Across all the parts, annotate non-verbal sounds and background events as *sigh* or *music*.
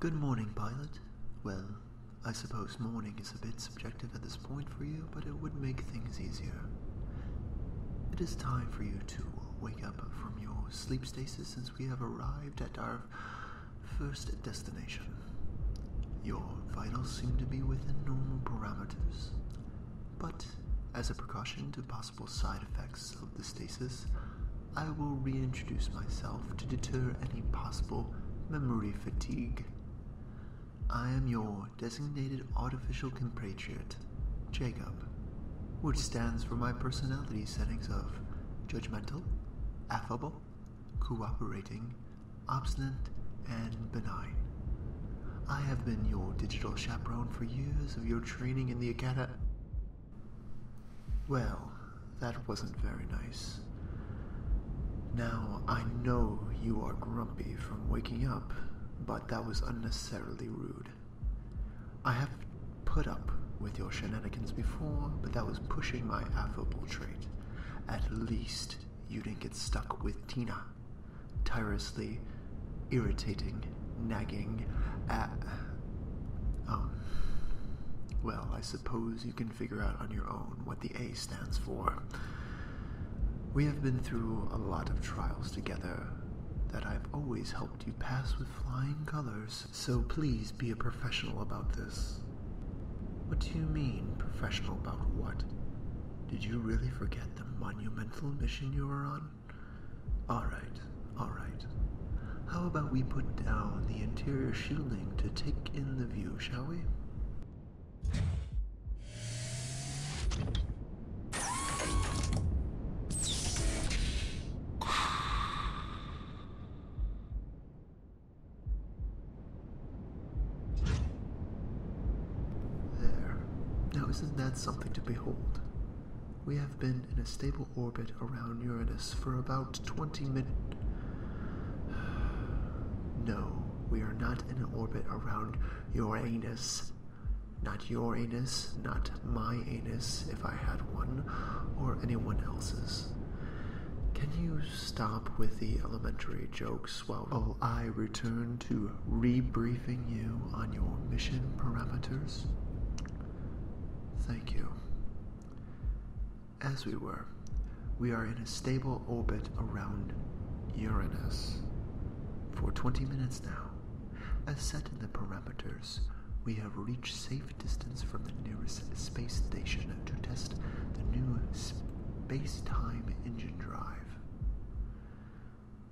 Good morning, pilot. Well, I suppose morning is a bit subjective at this point for you, but it would make things easier. It is time for you to wake up from your sleep stasis since we have arrived at our first destination. Your vitals seem to be within normal parameters, but as a precaution to pilot, possible side effects of the stasis, I will reintroduce myself to deter any possible memory fatigue. I am your designated artificial compatriot, Jacob, which stands for my personality settings of judgmental, affable, cooperating, obstinate, and benign. I have been your digital chaperone for years of your training in the academy. Well, that wasn't very nice. Now, I know you are grumpy from waking up, but that was unnecessarily rude. I have put up with your shenanigans before, but that was pushing my affable trait. At least you didn't get stuck with Tina, tirelessly irritating nagging at. Oh. Well, I suppose you can figure out on your own what the A stands for. We have been through a lot of trials together that I've always helped you pass with flying colors, so please be a professional about this. What do you mean, professional about what? Did you really forget the monumental mission you were on? Alright, alright. How about we put down the interior shielding to take in the view, shall we? There. Now isn't that something to behold? We have been in a stable orbit around Uranus for about 20 minutes. *sighs* No, we are not in an orbit around your anus. Not your anus, not my anus, if I had one, or anyone else's. Can you stop with the elementary jokes while I return to rebriefing you on your mission parameters? Thank you. As we were, we are in a stable orbit around Uranus for 20 minutes now. As set in the parameters, we have reached safe distance from the nearest space station to test the new space time engine drive.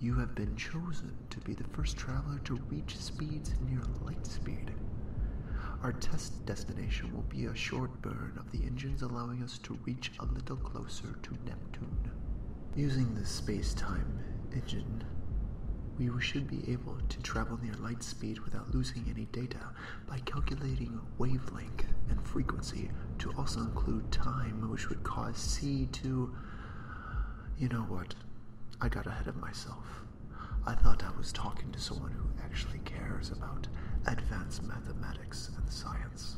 You have been chosen to be the first traveler to reach speeds near light speed. Our test destination will be a short burn of the engines, allowing us to reach a little closer to Neptune. Using the space time engine, we should be able to travel near light speed without losing any data by calculating wavelength and frequency to also include time, which would cause C to. You know what? I got ahead of myself. I thought I was talking to someone who actually cares about advanced mathematics and science.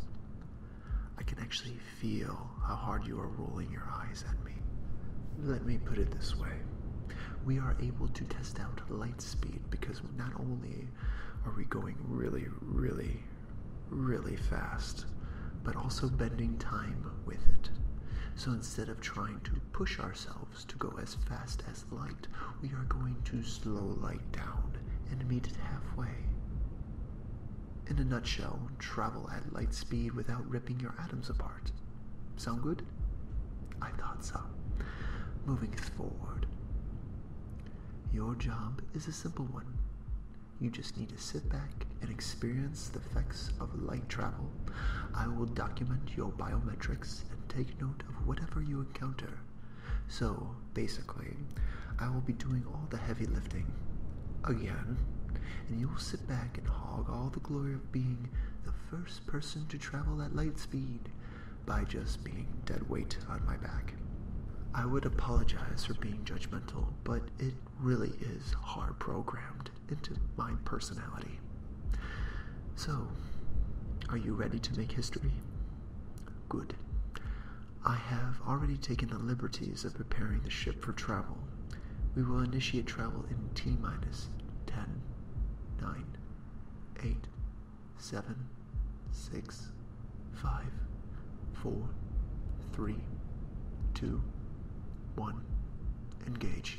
I can actually feel how hard you are rolling your eyes at me. Let me put it this way. We are able to test out light speed because not only are we going really, really, really fast, but also bending time with it. So instead of trying to push ourselves to go as fast as light, we are going to slow light down and meet it halfway. In a nutshell, travel at light speed without ripping your atoms apart. Sound good? I thought so. Moving forward. Your job is a simple one. You just need to sit back and experience the effects of light travel. I will document your biometrics and take note of whatever you encounter. So, basically, I will be doing all the heavy lifting again, and you will sit back and hog all the glory of being the first person to travel at light speed by just being dead weight on my back. I would apologize for being judgmental, but it really is hard programmed into my personality. So, are you ready to make history? Good. I have already taken the liberties of preparing the ship for travel. We will initiate travel in T minus 10, 9, 8, 7, 6, 5, 4, 3, 2, 1 one. Engage.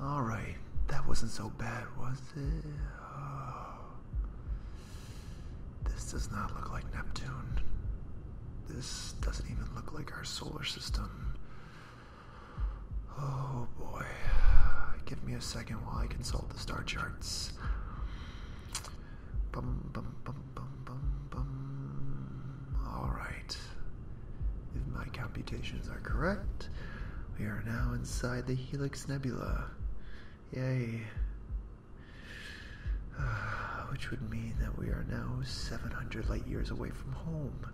Alright, that wasn't so bad, was it? Oh. This does not look like Neptune. This doesn't even look like our solar system. Oh boy. Give me a second while I consult the star charts. All right. If my computations are correct, we are now inside the Helix Nebula. Yay. *sighs* which would mean that we are now 700 light years away from home.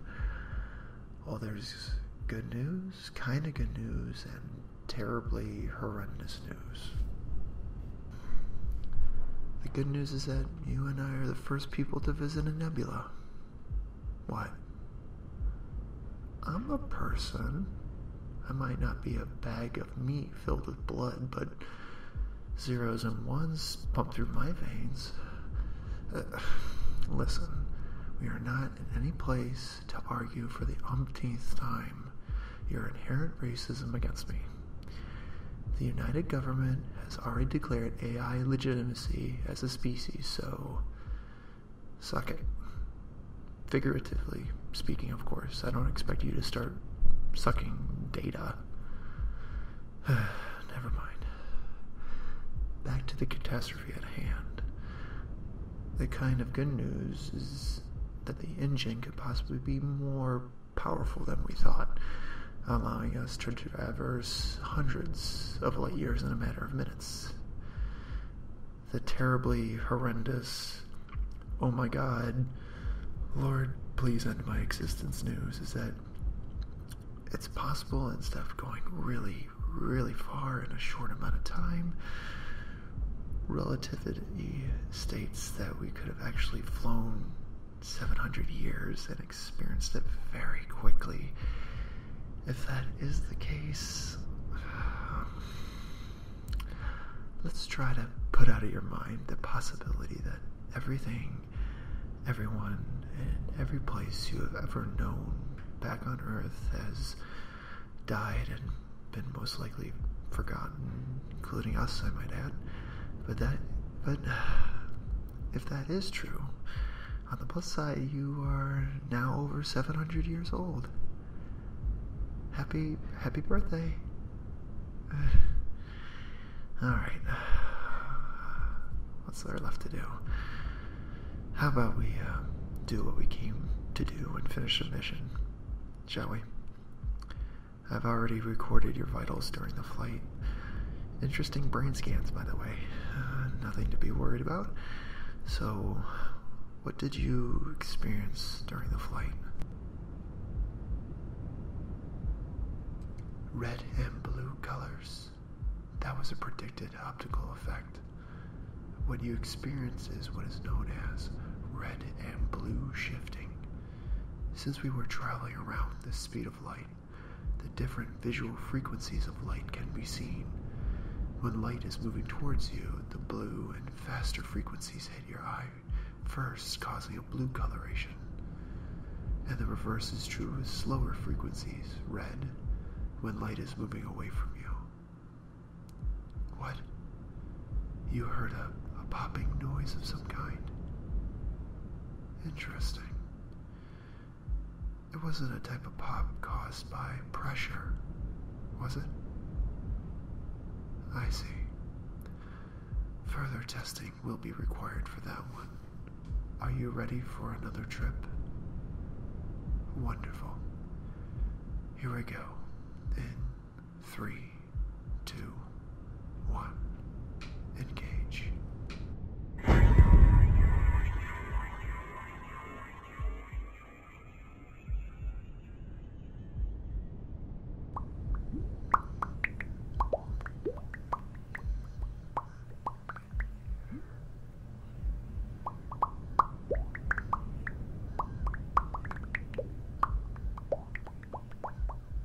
Well, there's good news, kind of good news, and terribly horrendous news. The good news is that you and I are the first people to visit a nebula. What? I'm a person. I might not be a bag of meat filled with blood, but zeros and ones pump through my veins. Uh, listen, we are not in any place to argue for the umpteenth time your inherent racism against me. The United Government has already declared AI legitimacy as a species, so suck it. Figuratively speaking, of course. I don't expect you to start sucking data. *sighs* Never mind. Back to the catastrophe at hand. The kind of good news is that the engine could possibly be more powerful than we thought, allowing us to traverse hundreds of light years in a matter of minutes. The terribly horrendous, oh my god, Lord, please end my existence news is that it's possible and stuff going really, really far in a short amount of time. Relativity states that we could have actually flown 700 years and experienced it very quickly. If that is the case, *sighs* let's try to put out of your mind the possibility that everything, everyone, and every place you have ever known back on Earth has died and been most likely forgotten, including us, I might add. But that but *sighs* if that is true, on the plus side, you are now over 700 years old. Happy, happy birthday. *sighs* All right. *sighs* What's there left to do? How about we uh, do what we came to do and finish the mission, shall we? I've already recorded your vitals during the flight. Interesting brain scans, by the way. Uh, nothing to be worried about. So, what did you experience during the flight? Red and blue colors. That was a predicted optical effect. What you experience is what is known as red and blue shifting. Since we were traveling around the speed of light, the different visual frequencies of light can be seen. When light is moving towards you, the blue and faster frequencies hit your eye first, causing a blue coloration. And the reverse is true with slower frequencies, red, when light is moving away from you. What? You heard a, a popping noise of some kind. Interesting. It wasn't a type of pop caused by pressure, was it? I see. Further testing will be required for that one. Are you ready for another trip? Wonderful. Here we go. In three, two, one, engage.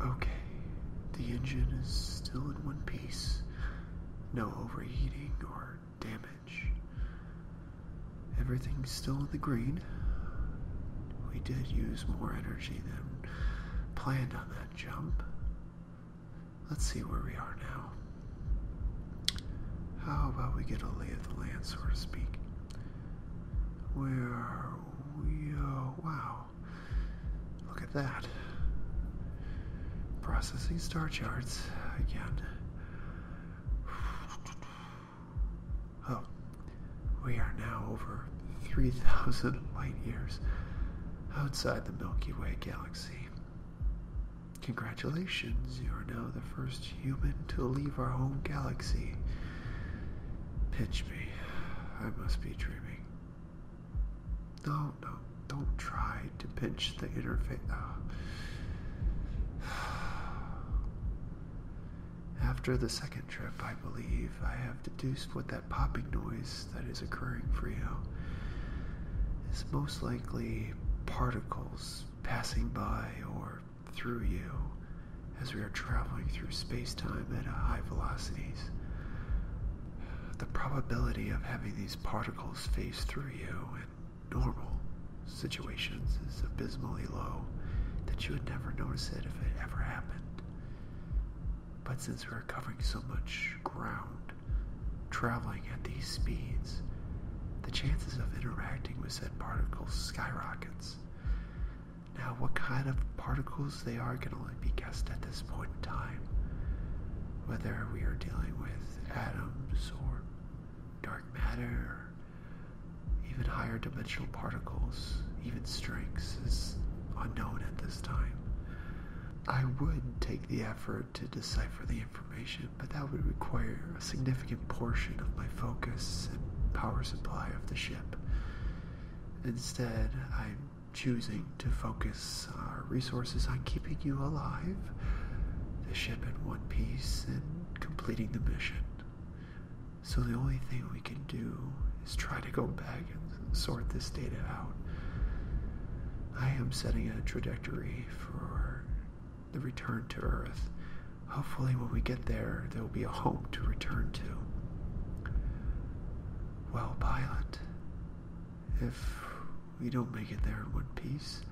Okay, the engine is still in one piece. No overheating or damage. Everything's still in the green. We did use more energy than planned on that jump. Let's see where we are now. How about we get a lay of the land, so to speak? Where are we? Oh, wow. Look at that. Processing star charts again. Oh, we are now over 3,000 light years outside the Milky Way galaxy. Congratulations, you are now the first human to leave our home galaxy. Pitch me. I must be dreaming. No, no, don't try to pinch the interface. Ah. After the second trip, I believe I have deduced what that popping noise that is occurring for you is most likely particles passing by or through you as we are traveling through space time at high velocities. The probability of having these particles phase through you in normal situations is abysmally low that you would never notice it if it ever happened. But since we're covering so much ground, traveling at these speeds, the chances of interacting with said particles skyrockets. Now, what kind of particles they are can only be guessed at this point in time. Whether we are dealing with atoms or dark matter, even higher dimensional particles, even strings, is unknown at this time. I would take the effort to decipher the information, but that would require a significant portion of my focus and power supply of the ship. Instead, I'm choosing to focus our resources on keeping you alive, the ship in one piece, and completing the mission. So the only thing we can do is try to go back and sort this data out. I am setting a trajectory for the return to Earth. Hopefully, when we get there, there will be a home to return to. Well, pilot, if we don't make it there in one piece,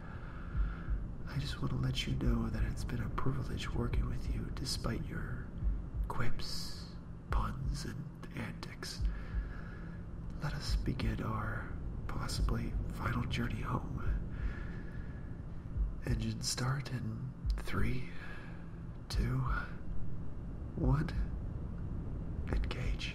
I just want to let you know that it's been a privilege working with you despite your quips, puns, and antics. Let us begin our possibly final journey home. Engine start in three, two, one. Engage.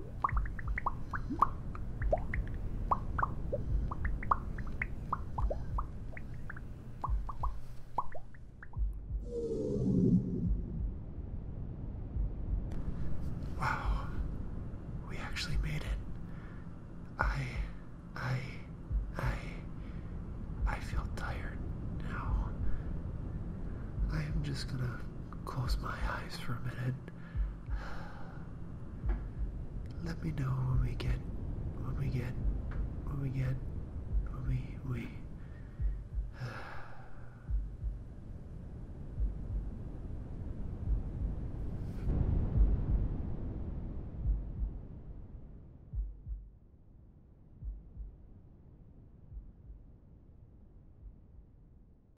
Wow, we actually made it. I, I, I, I feel tired now. I am just gonna close my eyes for a minute let me know when we get, when we get, when we get, when we, we.